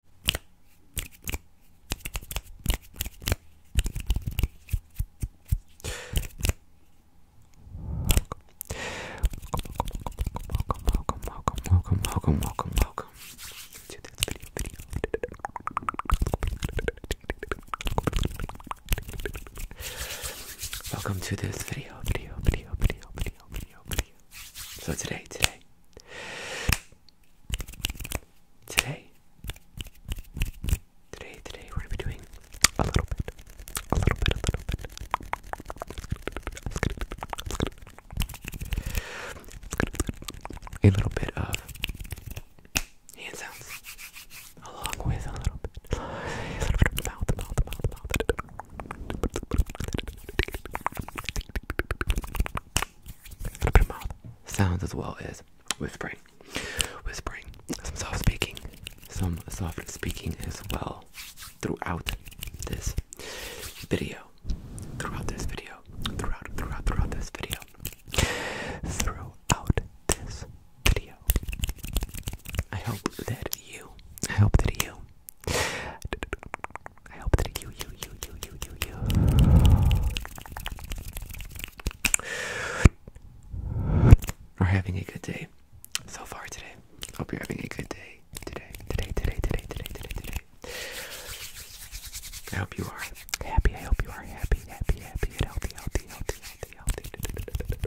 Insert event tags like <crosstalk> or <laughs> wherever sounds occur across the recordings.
welcome, welcome, welcome, welcome, welcome, welcome to this video, video. Welcome to this video, video, video, video, video, video, video. So today, today, Today, today, today, we're gonna be doing a little bit, a little bit, a little bit. A little bit of hand sounds, along with a little bit, a little bit of mouth, mouth, mouth, mouth open mouth sounds as well as whispering. Whispering, some soft speaking, some soft speaking as well throughout this video. Throughout this video. Throughout, throughout, throughout this video. Throughout this video. I hope that you, I hope that you I hope that you, you, you, you, you, you, you. Are having a good day so far today. Hope you're having a good day today, today, today, today, today, today, today. I hope you are happy. I hope you are happy, happy, happy, and healthy, healthy, healthy, healthy, healthy.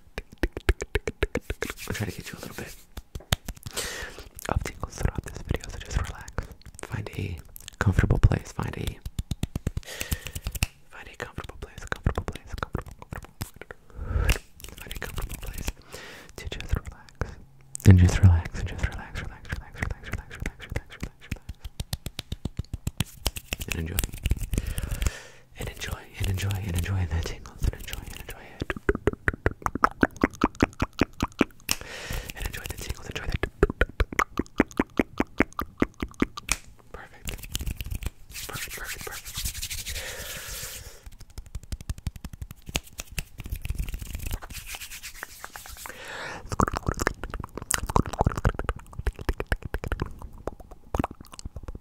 I'll try to get you a little bit of tingles throughout this video, so just relax. Find a comfortable place. Find a find a comfortable place. Comfortable place. Comfortable. Comfortable. Find a comfortable place to just relax and just relax and just relax, relax, relax, relax, relax, relax, relax, relax, relax, and enjoy and enjoy and enjoy and enjoy the tingles and enjoy and enjoy it and enjoy the tingles enjoy that perfect perfect perfect perfect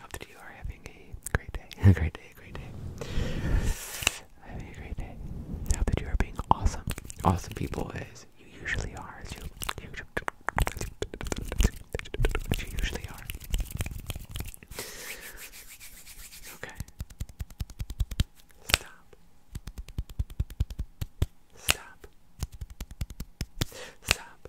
Hope that you are having a great day. <laughs> a great day, a great day. having a great day. I hope that you are being awesome. Awesome people as you usually are. As you, you, as you usually are. Okay. Stop. Stop. Stop.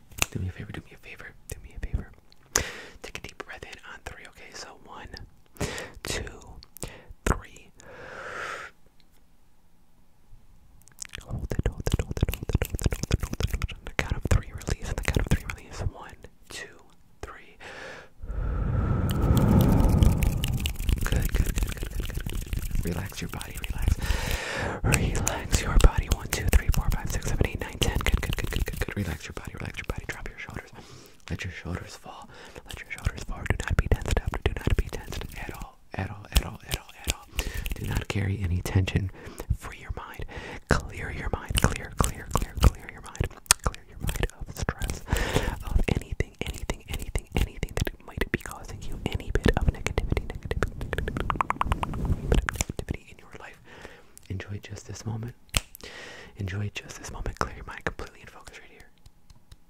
Do me a favor, do me a favor, do me a favor. Take a deep breath in on three, okay? So one, two, three. Hold it, hold it, hold it, hold it, hold it, hold it, hold it, hold it. the count of three release, the count of three release. One, two, three. Good, good, good, good, good, Relax your body relax. Relax your body. 1, 2, 3, 4, 5, 6, 7, 8, 9, 10. Good, good, good, good, good, good. Relax your body, relax your body. Drop your shoulders. Let your shoulders fall. Let your shoulders fall. Do not be tensed up. Do not be tensed at all. At all, at all, at all, at all. Do not carry any tension. Free your mind. Clear your mind. Clear, clear, clear, clear your mind. Clear your mind of stress, of anything, anything, anything, anything might be causing you any bit of negativity, negativity, negativity, in your life. Enjoy just this moment. Enjoy just this moment. Clear your mind completely in focus right here.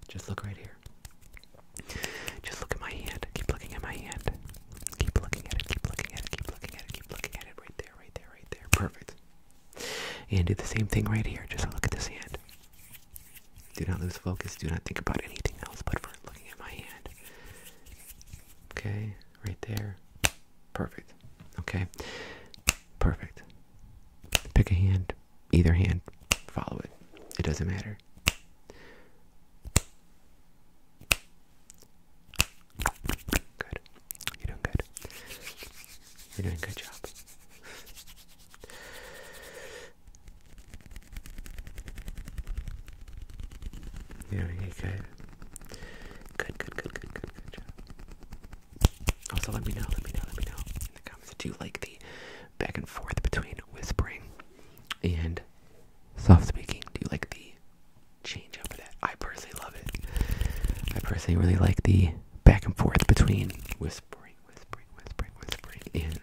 Just look right here. Just look at my hand. Keep looking at my hand. Keep looking at it. Keep looking at it. Keep looking at it. Keep looking at it. Right there. Right there. Right there. Perfect. And do the same thing right here. Just look at this hand. Do not lose focus. Do not think about anything else but for looking at my hand. Okay, right there. Perfect. Okay, perfect. Pick a hand, either hand, follow it. It doesn't matter. Good. You're doing good. You're doing a good job. There we Good, good, good, good, good, good job. Also, let me know, let me know, let me know in the comments. Do you like the back and forth between whispering and soft speaking? Do you like the change of that? I personally love it. I personally really like the back and forth between whispering, whispering, whispering, whispering, and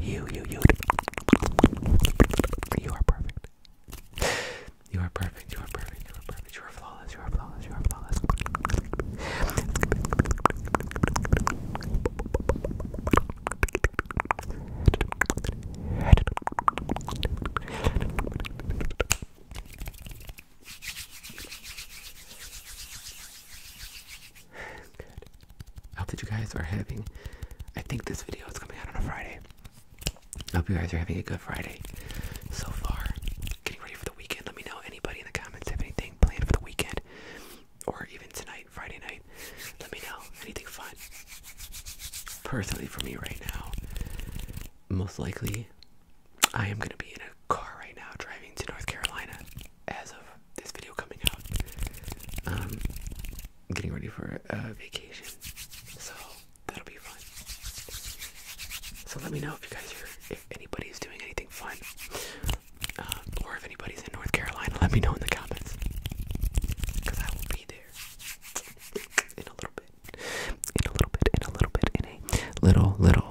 you, you, you. You are perfect. You are perfect. You are perfect. You are perfect. You are flawless. You are flawless. You are flawless. I hope that you guys are having. I think this video is coming out on a Friday. I hope you guys are having a good Friday so far. Getting ready for the weekend. Let me know anybody in the comments have anything planned for the weekend or even tonight, Friday night. Let me know anything fun. Personally, for me right now, most likely I am gonna be in a car right now driving to North Carolina as of this video coming out. Um, getting ready for a vacation, so that'll be fun. So let me know if you guys are, if anybody's doing anything fun, um, or if anybody's in North Carolina, let me know in the comments, because I will be there in a little bit, in a little bit, in a little bit, in a little, little,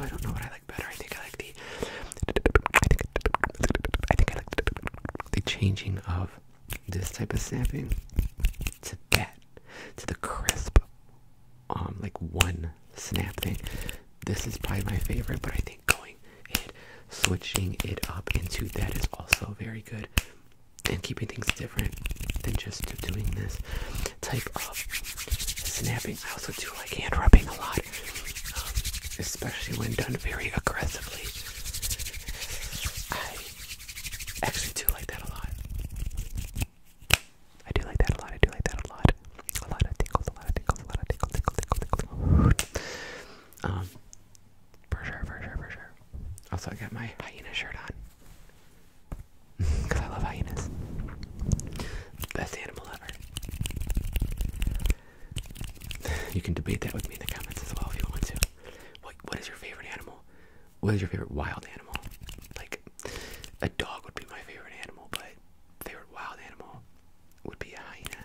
I don't know what I like better. I think I like the. the, changing of this type of snapping to that to the crisp, um, like one snap thing. This is probably my favorite, but I think going and switching it up into that is also very good and keeping things different than just doing this type of snapping. I also do like hand rubbing a lot, um, especially when done very aggressively. I actually do like that a lot. I do like that a lot. I do like that a lot. A lot of tickles, a lot of tickles, a lot of tickles, tickle, tickle, tickle. Um, for sure, for sure, for sure. Also, I got my hyena shirt on. Because <laughs> I love hyenas. Best animal ever. you can debate that with me in the comments as well if you want to. What, what is your favorite animal? What is your favorite wild animal? Like, a dog would be my favorite animal, but favorite wild animal would be a hyena.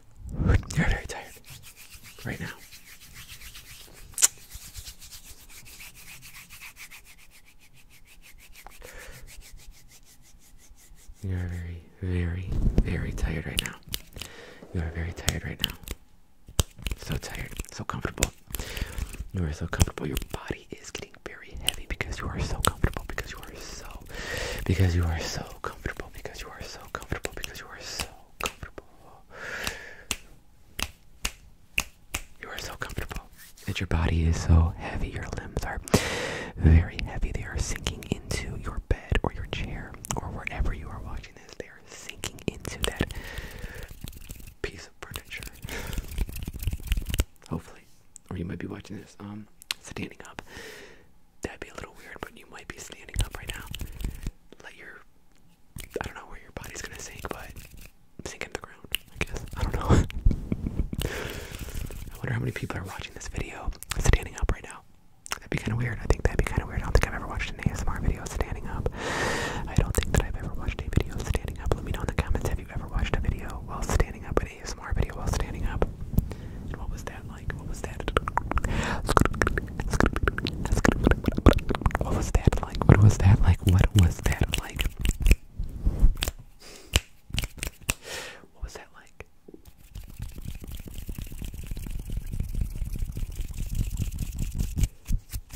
You're very tired right now. You are very, very, very tired right now. You are very tired right now. So tired, so comfortable. You are so comfortable. Your body is getting very heavy because you are so comfortable. Because you are so, because you are so comfortable. Because you are so comfortable. Because you are so comfortable. You are so comfortable. And your body is so heavy. Your limbs are very heavy. They are sinking into your bed or your chair or wherever you are watching this. They are sinking into that. Piece Hopefully. Or you might be watching this um standing up. That'd be a little weird, but you might be standing up right now. Let your I don't know where your body's gonna sink, but sink in the ground, I guess. I don't know. <laughs> I wonder how many people are watching this video standing up right now. That'd be kinda weird. I think that'd be kinda weird. I don't think I've ever watched an ASMR video standing up. I don't think that I've ever watched a video standing up. Let me know in the comments have you ever watched a video while standing up, an ASMR video while standing up. what was that like? What was that like? What was that like? What was that like? What was that like?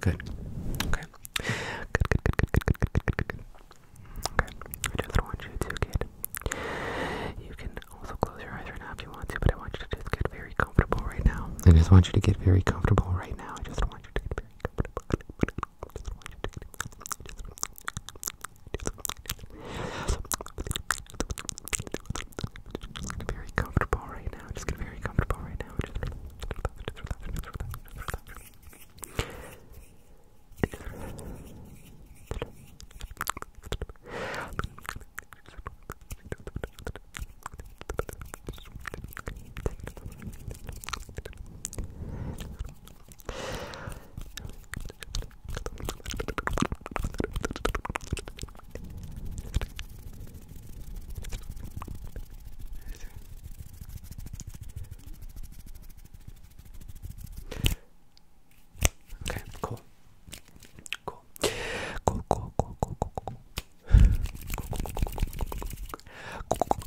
Good. Okay. Good, good, good, good, good, good, good, good, good. Okay. I just want you to get. You can also close your eyes right now if you want to, but I want you to just get very comfortable right now. I just want you to get very comfortable right now. I just want you to get very comfortable. Just get very comfortable right now. Just get very comfortable right now. Just relax, just relax, just relax, just relax. Just relax. Just relax. Okay, cool. Cool. Cool, cool, cool, cool, cool, cool. cool, cool, cool, cool, cool, cool.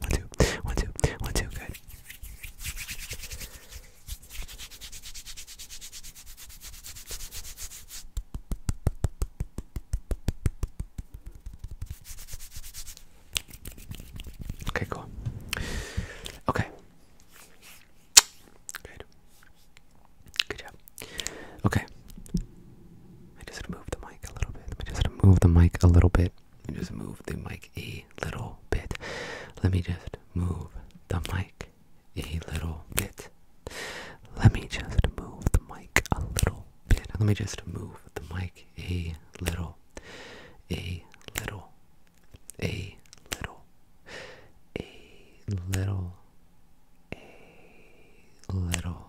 one, two, one, two, one, two, good. Okay, cool. Okay. Good. Good job. Okay. I just move the mic a little bit. I just move the mic a little bit. Let me just move the mic a little bit. Let me just move the mic a little bit. Let me just move the mic a little bit. Let me just move the mic a little, a little, a little, a little, a little,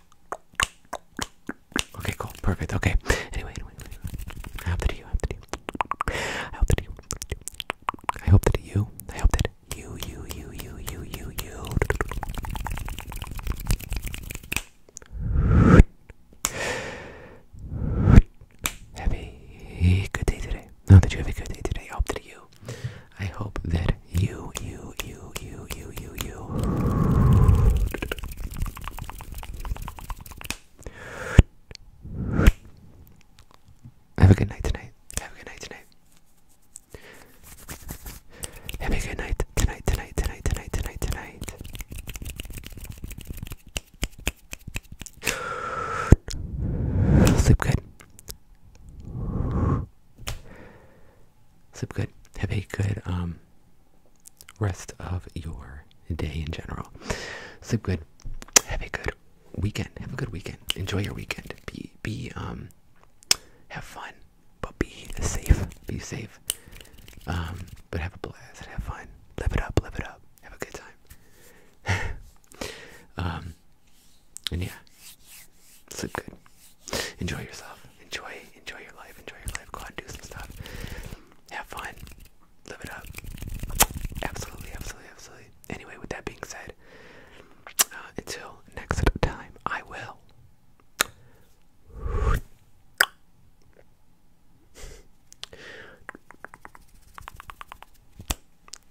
Okay, cool, perfect. Okay. Anyway, anyway, I hope that you, I hope that you, I hope that you, I hope that you, I hope that you, you, you, you, you, you, you. Have a good day today. No, that you have a good day today. I hope that you. I hope that you, you, you, you, you, you, you. Have a good night tonight. Have a good night tonight. Have a good night tonight, tonight, tonight, tonight, tonight, tonight. Sleep good sleep good. Have a good um, rest of your day in general. Sleep good. Have a good weekend. Have a good weekend. Enjoy your weekend. Be be um have fun, but be safe. Be safe. Um, but have a blast. Have fun. Live it up. Live it up. Have a good time. <laughs> um, and yeah, sleep good. Enjoy yourself enjoy enjoy your life, enjoy your life, go and do some stuff. Have fun. Live it up. Absolutely, absolutely, absolutely. Anyway, with that being said, uh, until next time, I will.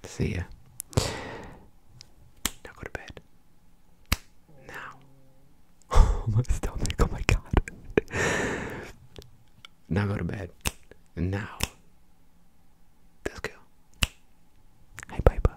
See ya. Now go to bed now. Oh, my stomach, oh my god. <laughs> now go to bed. Now. Let's go. Hi, Piper.